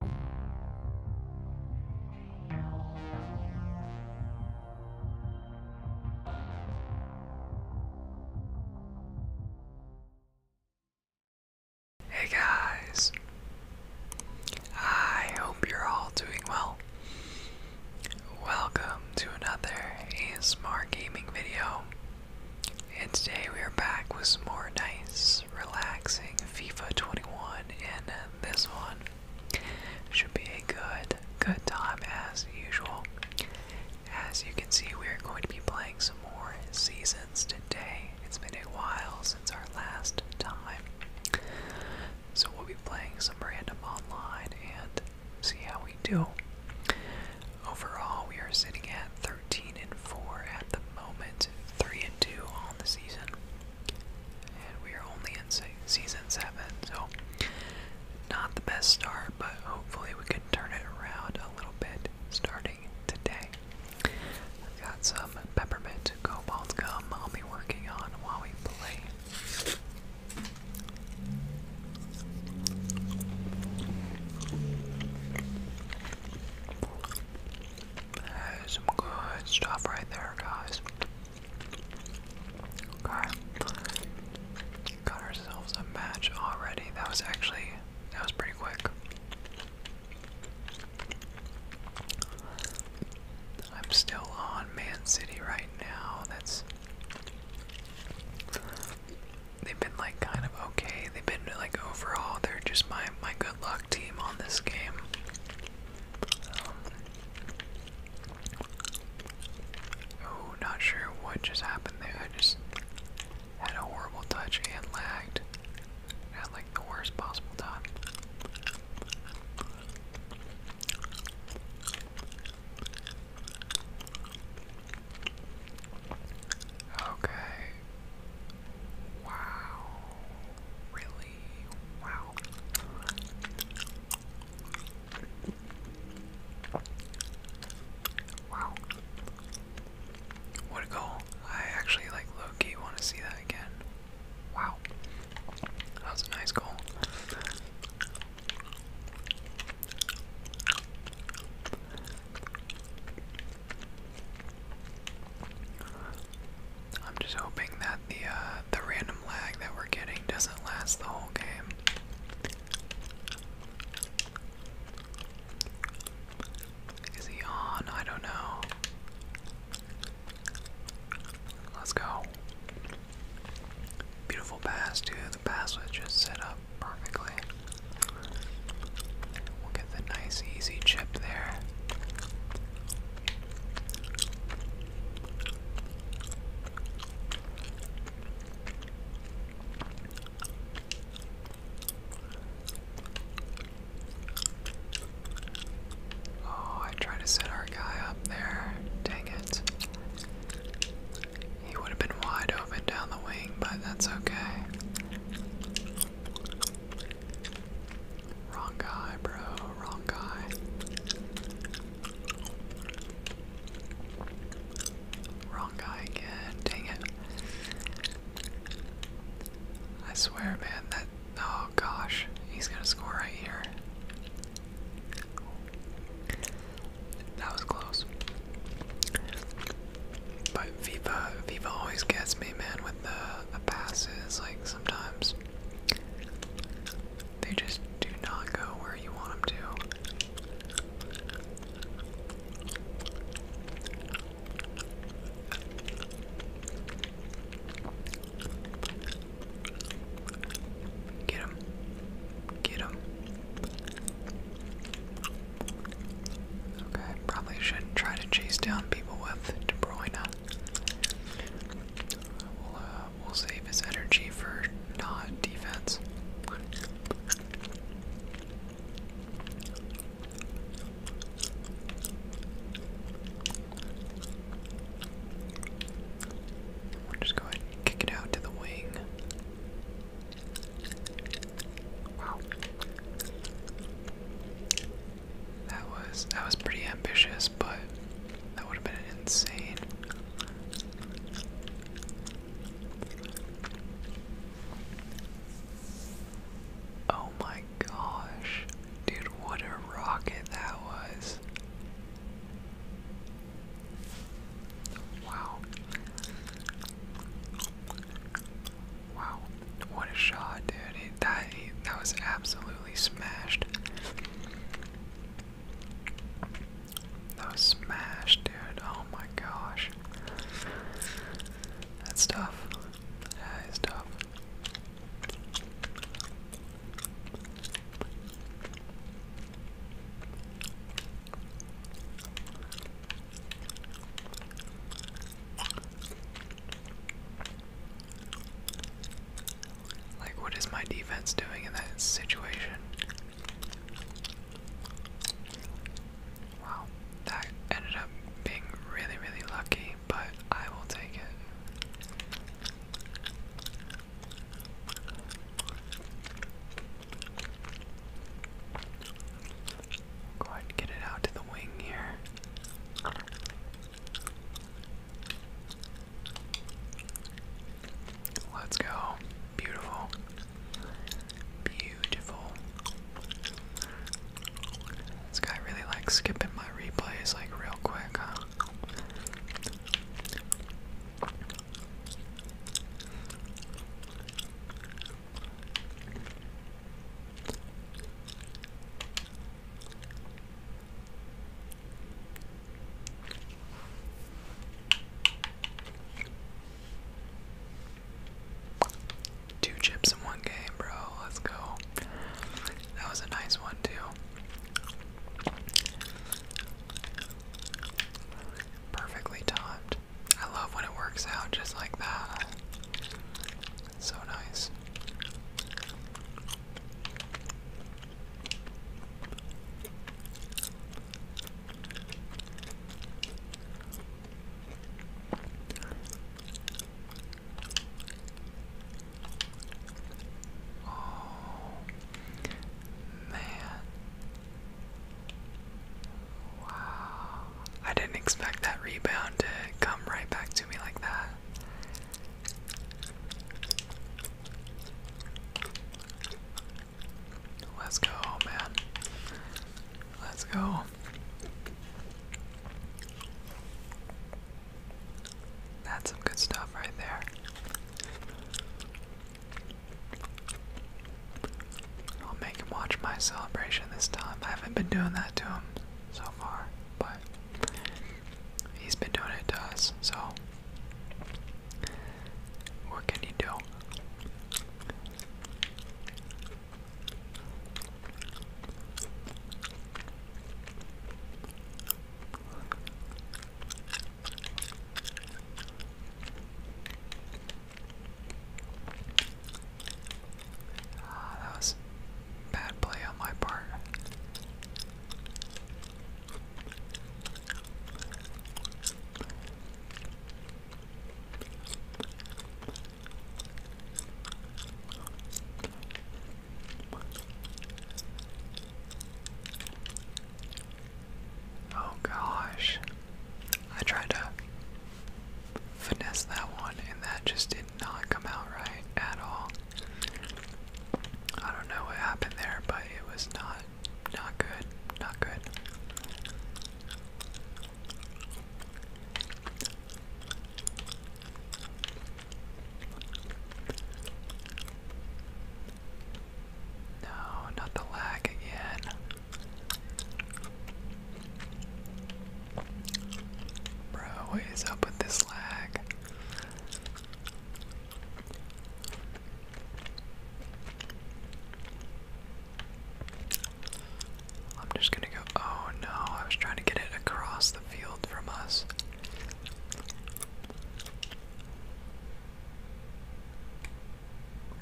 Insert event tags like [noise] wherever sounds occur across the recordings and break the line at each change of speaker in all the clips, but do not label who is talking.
Hey guys, I hope you're all doing well. Welcome to another ASMR gaming video, and today we are back with some more nice, relaxing FIFA 21 and uh, this one. Should be a good, good time as usual. As you can see, we are going to be playing some more seasons today. It's been a while since our last time. So we'll be playing some random online and see how we do. Overall, we are sitting at 13 and 4 at the moment, 3 and two on the season, and we are only in season seven, so not the best start, but hopefully we can turn it around a little bit starting today. I've got some peppermint cobalt gum I'll be working on while we play some good stuff right there, guys. Okay. Got ourselves a match already. That was actually, that was pretty quick. I'm still on Man City right now. That's. They've been like kind of okay. They've been like overall, they're just my my good luck team on this game. oh, not sure what just happened there. just had a horrible touch and lagged at like the worst possible time. Okay. Wow. Really? Wow. Wow. What a goal. I actually like low want to see that again. Wow. That was a nice goal. I'm just hoping that the uh, the random lag that we're getting doesn't last the whole game. Is he on? I don't know. Let's go. Beautiful pass, too. The pass was just set up perfectly. We'll get the nice easy chip there. Oh, I tried to set our guy up there. Dang it. He would have been wide open down the wing, but that's okay. Wrong guy, bro. Wrong guy. Wrong guy again. Dang it. I swear, man, that. Oh gosh. He's gonna score right here. That was close. But Viva, Viva always gets me, man, with the, passes. Like sometimes they just do not go where you want them to. Get him. Get him. Okay, probably shouldn't try to chase down people with De Bruyne. Uh, we'll, save his energy for not defense. We'll just go ahead kick it out to the wing. Wow. That was that was pretty ambitious, but that would have been insane. Oh my gosh. Dude, what a rocket that was. Wow. Wow, what a shot, dude! that that was absolutely smashed. That was smashed, dude. Oh my gosh, that's tough. That is tough. Like, what is my defense doing in that situation? Wow, that ended up being really, really lucky, but I will take it. Go ahead and get it out to the wing here. Let's go. Beautiful. Beautiful. This guy really likes skipping my replays like real quick, huh? Two chips in one game, bro. Let's go. That was a nice one, too. Perfectly timed. I love when it works out just like that. so nice. Oh man, Wow. I didn't expect that rebound to come right back to me like that. Let's go, man. Let's go. That's some good stuff right there. I'll make him watch my celebration this time. I haven't been doing that to him so far, but he's been doing it to us, so what can you do? Ah, that was bad play on my part. Oh gosh. I tried to finesse that one and that just did not come out right at all. I don't know what happened there, but it was not not good. Not good. No, not the lag again. Bro, what is up with this lag? I'm just gonna go. Oh no, I was trying to get it across the field from us.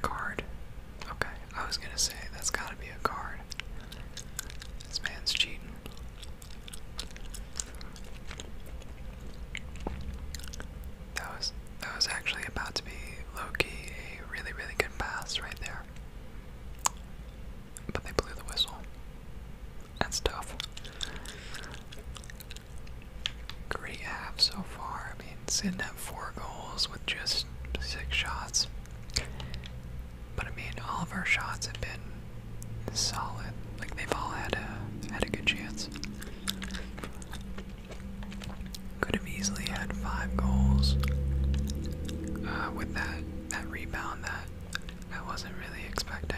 Card. Okay, I was gonna say that's gotta be a card. This man's cheating. That was that was actually about to be Loki. a really really good pass right there. But they blew the whistle. That's tough. Great half so far. I mean, sitting at four goals with just six shots. But I mean, all of our shots have been solid. Like they've all had a had a good chance. Could have easily had five goals uh, with that that rebound that I wasn't really expecting.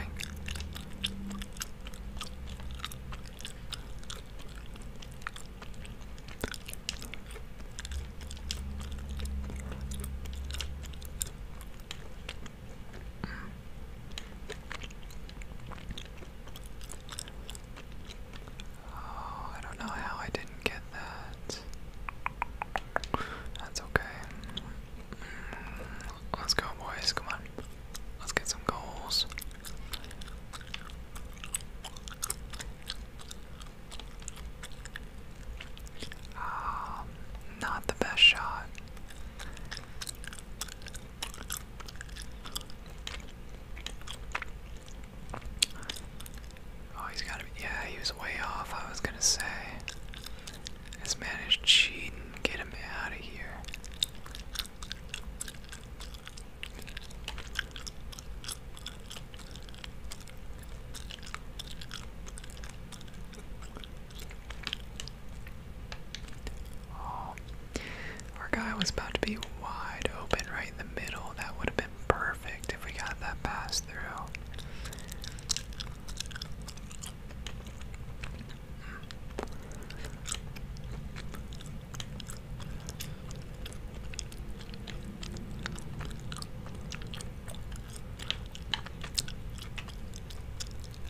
Oh, I don't know how I didn't get that. That's okay. Let's go, boys. Come on. Let's get some goals. Um, not the best shot. Oh, he's got to be. Yeah, he was way off. I was gonna say. This man is cheating. Get him out of here. Oh, our guy was about to be wide open right in the middle. That would have been perfect if we got that pass through.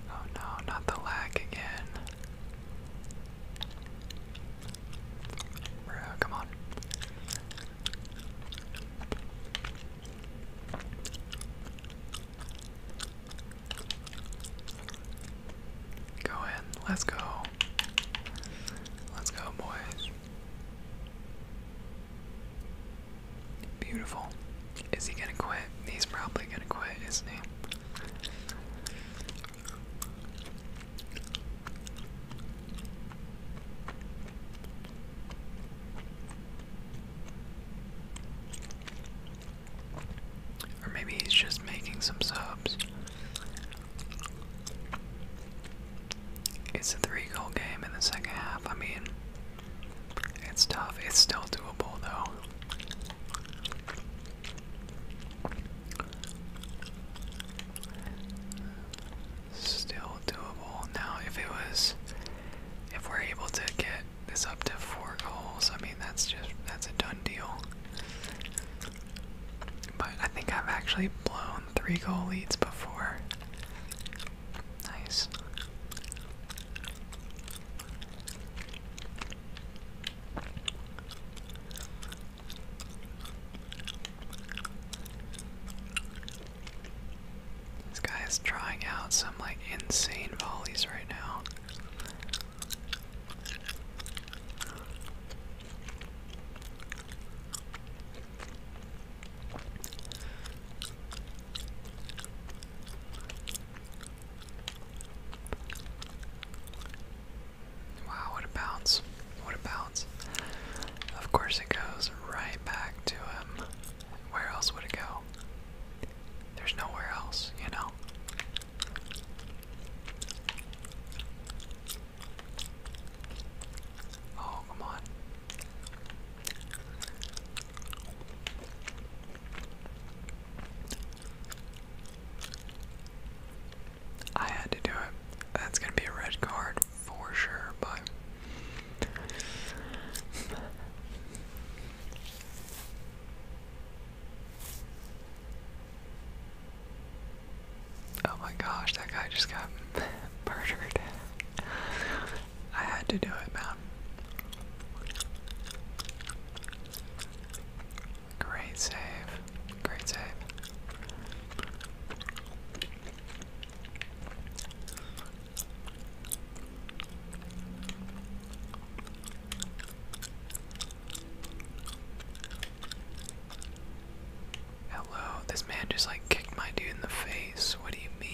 Oh no, not the lag again. Bro, come on. Go in. Let's go. Let's go, boys. Beautiful. Is he gonna quit? He's probably gonna quit, isn't he? Or maybe he's just making some subs. It's a three goal game in the second half. I mean, it's tough. It's still doable, though. Still doable. Now, if it was. If we're able to get this up to four goals. I mean, that's just that's a done deal. But I think I've actually blown three goal leads before. Nice. This guy is trying out some like insane volleys right now. Wow, what a bounce. What a bounce. Of course, it goes right back to him. Where else would it go? There's nowhere else, you know. Oh, come on. I had to do it. That's gonna be a red card for sure, but Oh my gosh, that guy just got [laughs] murdered. I had to do it, man. Great save. Great save. Hello, this man just like kicked my dude in the face. What do you mean?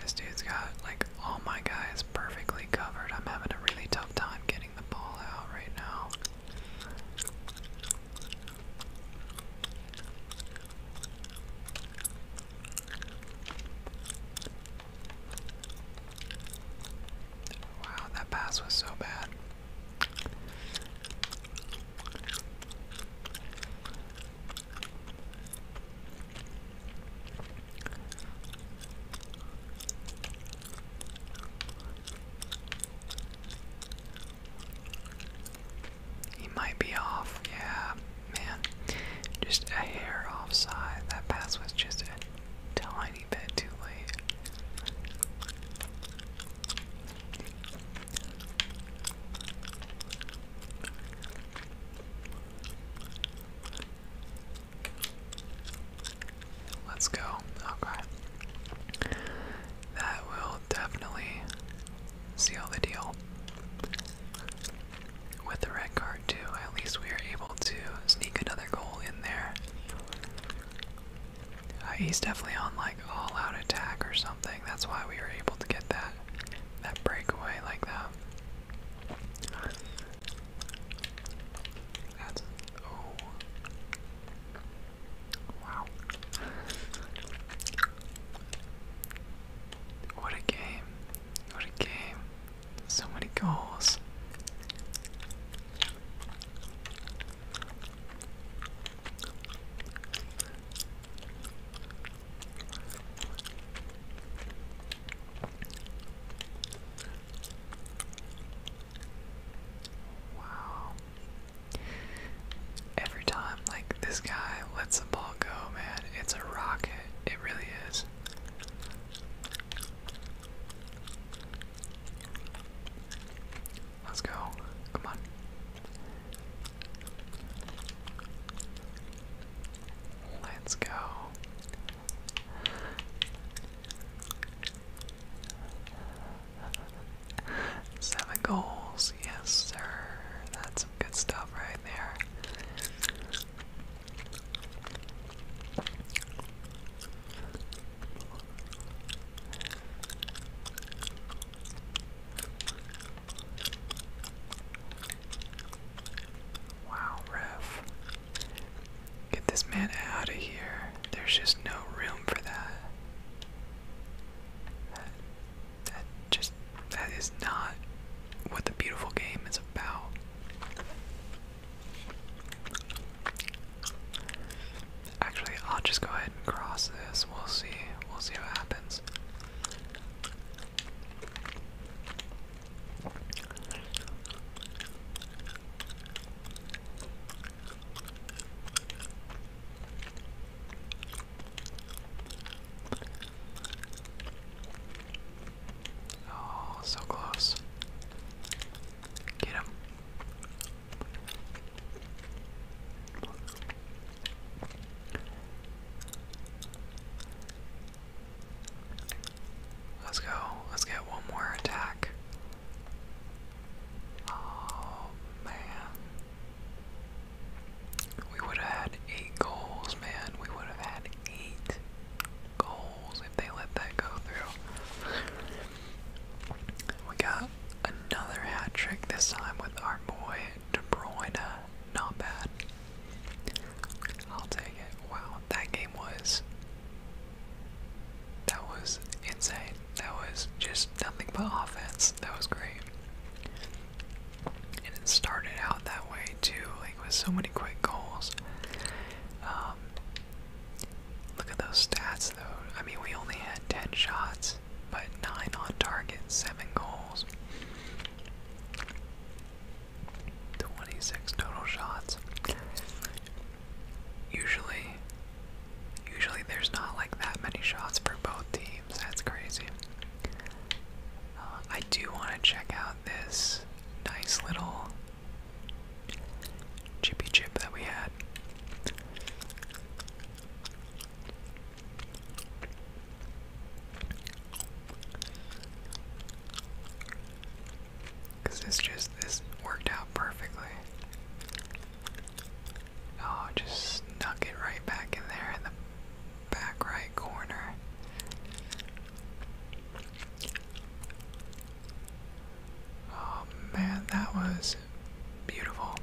This dude's got like all my guys perfectly covered. I'm having a really tough time getting the ball out right now. Wow, that pass was so bad. He might be off. Yeah, man. Just a hair offside. That pass was just a tiny bit too late. Let's go. Okay. That will definitely seal the deal. With the red card, too, at least we are able to sneak another goal in there. Uh, he's definitely on like all out attack or something. That's why we were able to get that that that breakaway like that. That's oh wow. What a game. What a game. So many goals. Wow. Every time, like, this guy lets the ball go, man. It's a rocket. It really is. Let's go. Come on. Let's go. Seven goals, yes, sir. That's some good stuff right there. Wow, ref. Get this man out of here. There's just no room for that. That, just, that is not what the beautiful game is about. Actually, I'll just go ahead and cross this. We'll see. We'll see what happens. Oh, so close. Get him. Let's go. Let's get one more attack. Oh man. We would have had eight goals, man. We would have had eight goals if they let that go through. We got another hat trick this time with our boy De Bruyne. Not bad. I'll take it. Wow, that game was. That was insane. That was just nothing but offense. That was great. And it started out that way too, like with so many quick goals. Um, look at those stats though. I mean, we only had 10 shots but 9 on target, 7 goals. 26 total shots. Usually usually there's not like that many shots for both teams. That's crazy. Uh, I do want to check out this nice little chippy chip that we had. Cause this just this worked out perfectly. Oh, just snuck it right back in there in the back right corner. Oh man, that was beautiful.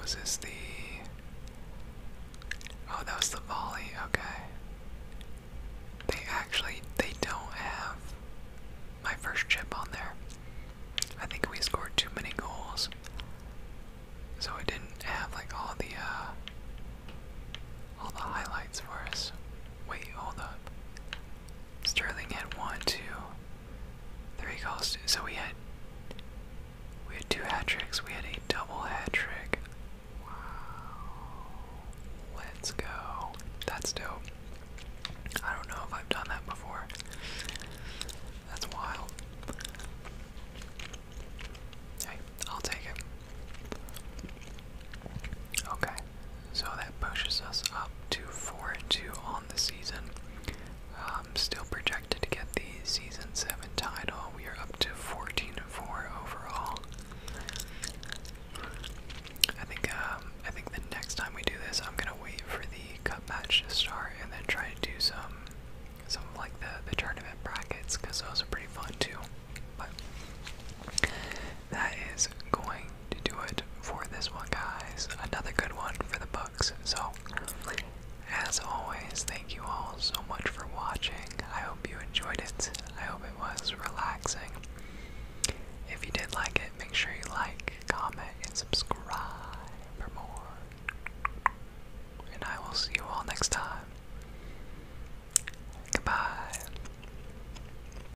Was this the. Oh, that was the volley, okay. They actually they don't have my first chip on there. I think we scored too many goals. So it didn't have like all the uh all the highlights for us. Wait, hold up. Sterling had one, two, three goals. So we had we had two hat tricks. We had a double hat trick. Wow. Let's go. That's dope. I don't know if I've done that before. That's wild. Hey, I'll take it. Okay. So that pushes us up to 4 and 2 on the season. Um, still projected to get the season 7 title. We are up to 14 and 4 overall. I think um, I think the next time we do this, I'm gonna wait for the cup match to start and then try to do some some like the the tournament brackets because those are pretty fun too. But that is going to do it for this one, guys. Another good one for the books. So, as always, thank you all so much for watching. I hope you enjoyed it. I hope it was relaxing. If you did like it, make sure you like, comment, and subscribe for more. And I will see you all next time. Goodbye.